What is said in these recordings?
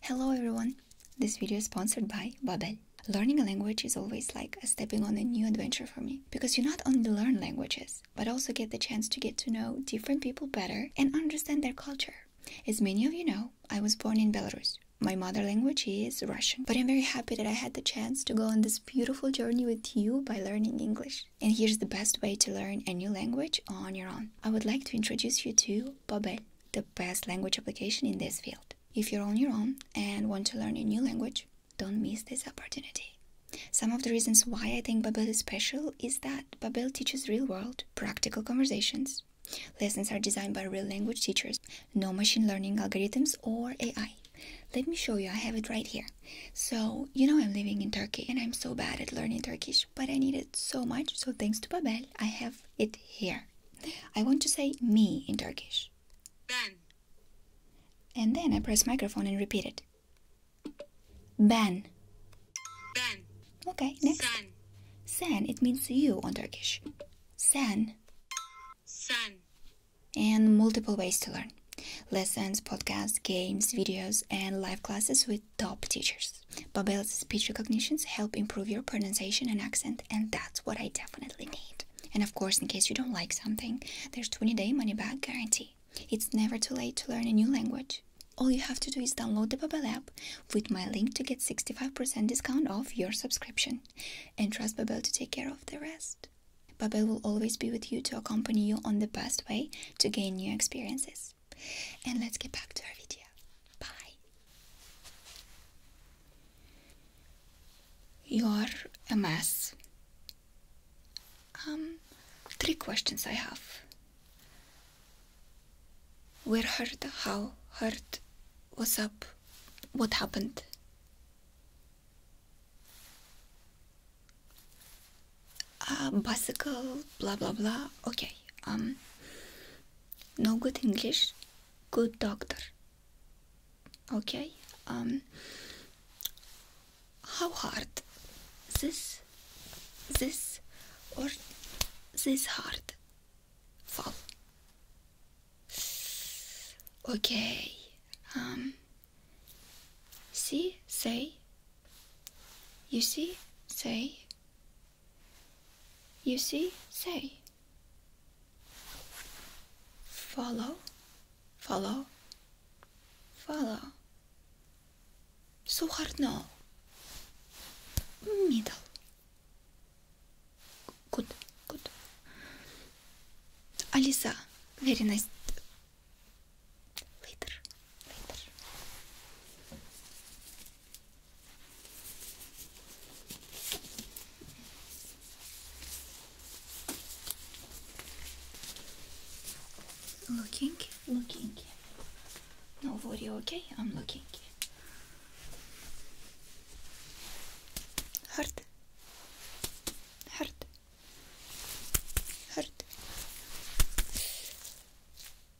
Hello everyone! This video is sponsored by Babbel. Learning a language is always like stepping on a new adventure for me because you not only learn languages but also get the chance to get to know different people better and understand their culture. As many of you know, I was born in Belarus. My mother language is Russian, but I'm very happy that I had the chance to go on this beautiful journey with you by learning English. And here's the best way to learn a new language on your own. I would like to introduce you to Babbel the best language application in this field. If you're on your own and want to learn a new language, don't miss this opportunity. Some of the reasons why I think Babel is special is that Babel teaches real world, practical conversations. Lessons are designed by real language teachers, no machine learning algorithms or AI. Let me show you, I have it right here. So, you know I'm living in Turkey and I'm so bad at learning Turkish but I need it so much, so thanks to Babel, I have it here. I want to say me in Turkish. Ben. And then I press microphone and repeat it. Ben. Ben. Okay, next. Sen. Sen, it means you in Turkish. Sen. Sen. And multiple ways to learn lessons, podcasts, games, videos, and live classes with top teachers. Babbel's speech recognitions help improve your pronunciation and accent, and that's what I definitely need. And of course, in case you don't like something, there's 20-day money-back guarantee. It's never too late to learn a new language. All you have to do is download the Babbel app with my link to get 65% discount off your subscription and trust Babbel to take care of the rest. Babbel will always be with you to accompany you on the best way to gain new experiences. And let's get back to our video. Bye. You're a mess. Um, three questions I have. Where hurt? How hurt? What's up? What happened? A uh, bicycle, blah blah blah. Okay. Um, no good English, good doctor. Okay? Um, how hard? This, this, or this hard? Fall. Okay. Um, see, say, you see, say, you see, say. Follow, follow, follow. So hard now. Middle. Good, good. Alisa, very nice. Later, Looking, looking. No worry, okay? I'm looking. Hurt. Hurt. Hurt.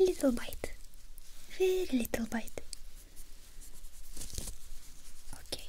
Little bite, very little bite. Okay.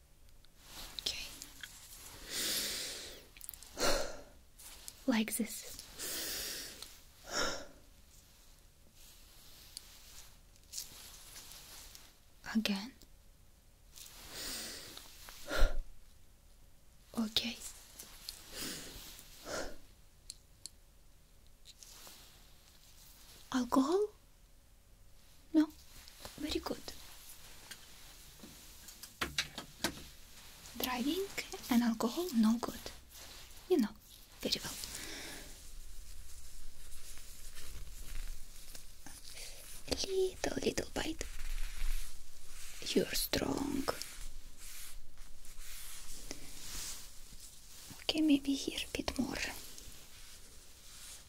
Okay. like this. Again. Okay. Alcohol? No, very good. Driving and alcohol, no good. You know, very well. Little, little bite. You're strong. Okay, maybe here a bit more.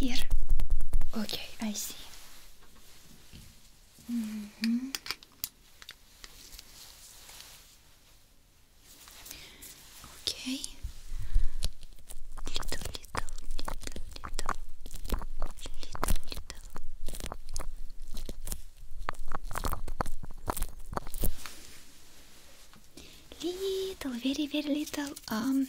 Here? Okay, I see. -hmm. Okay. Little, little, little, little, little, little, little, very, very little. Um,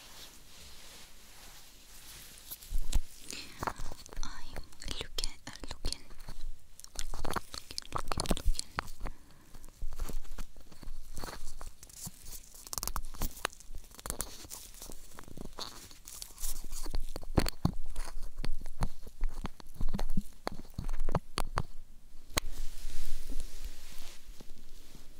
I'm looking, looking, looking, looking, looking.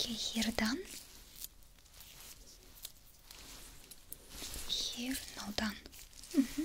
Okay, here done. Here, now done. Mm -hmm.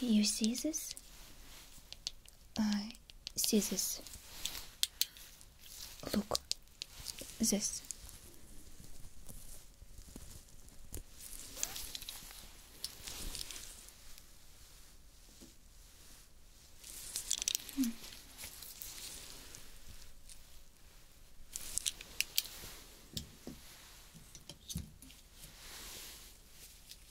Okay, you see this? I see this. Look, this.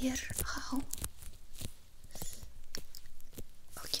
here how? Okay.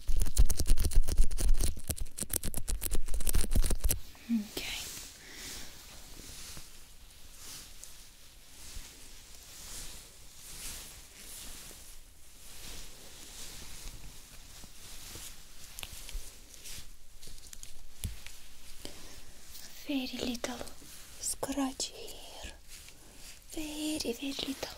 Okay. Very little scratch here. Very, very little.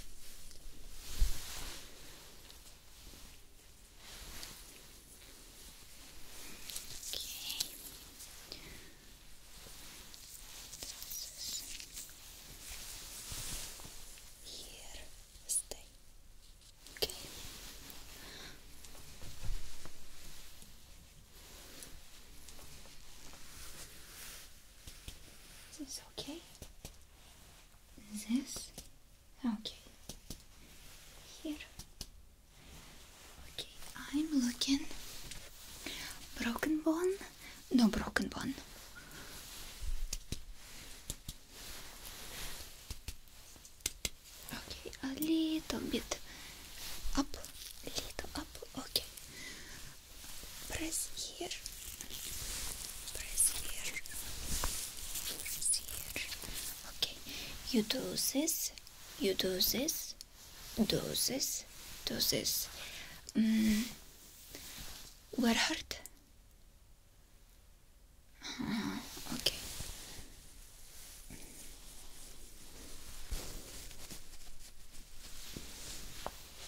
Okay. Here, stay. Okay. Is this okay? Is this? Okay. Here. Okay, I'm looking. Broken bone? No broken bone. Okay, a little bit up, a little up. Okay, press here, press here, Okay, you do this, you do this, do this, do this. Mm. Where hurt? Uh, uh-huh. okay.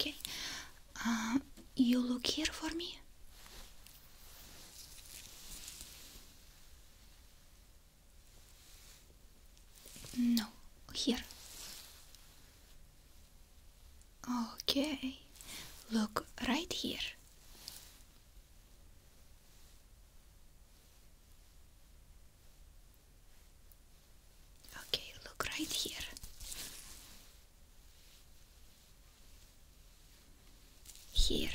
Okay. Uh, you look here for me. No, here. Okay. Look right here. Okay, look right here. Here.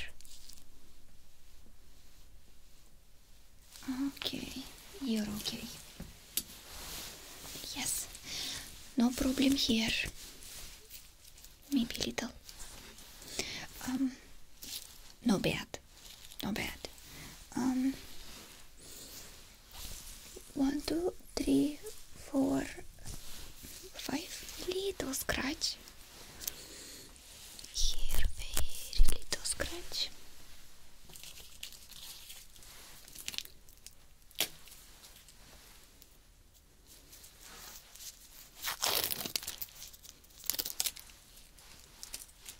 Okay, you're okay. Yes, no problem here. Maybe little. Um, no bad. Not bad. Um, one, two, three, four, five. Little scratch. Here, very little scratch.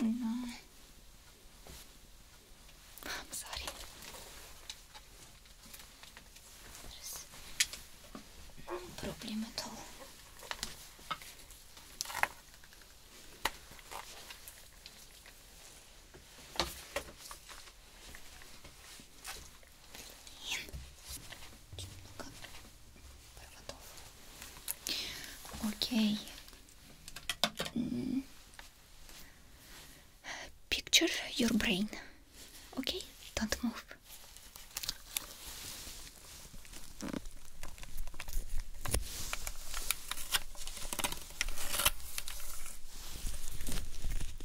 I oh, I'm sorry. no problem at all. Блин. Picture your brain. Okay? Don't move.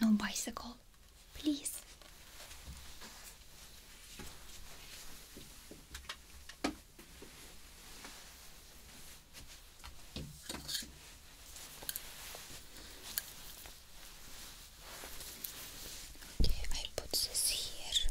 No bicycle, please. Okay, I put this here.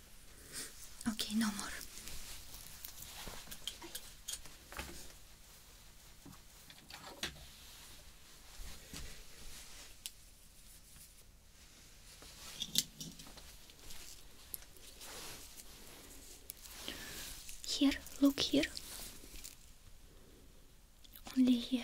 Okay, no more. Here, look here. Only here.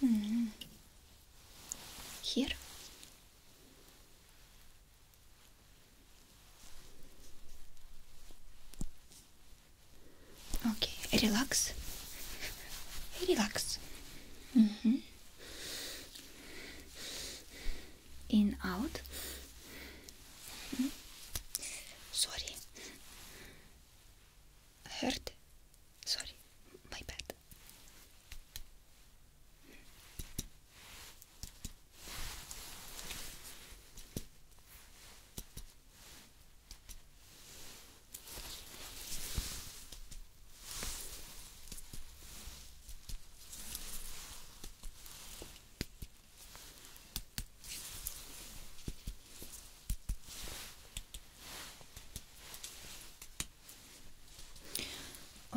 Hmm. Here. Okay, relax. Relax. Mm -hmm. In, out. Sorry. heard. Sorry. My bad.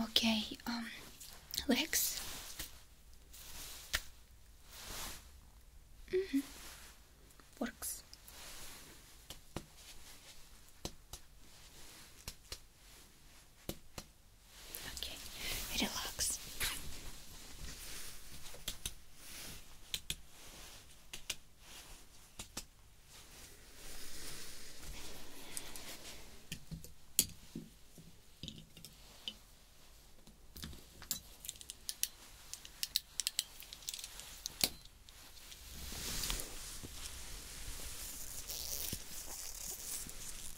Okay, um, legs. Mm -hmm. Works. Okay, relax.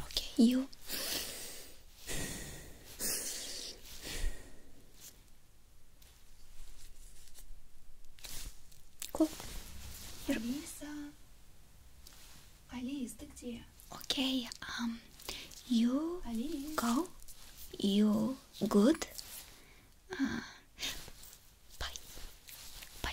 Okay, you. Cool. You're... Алиса. Okay, um, you go. You good? Uh, bye.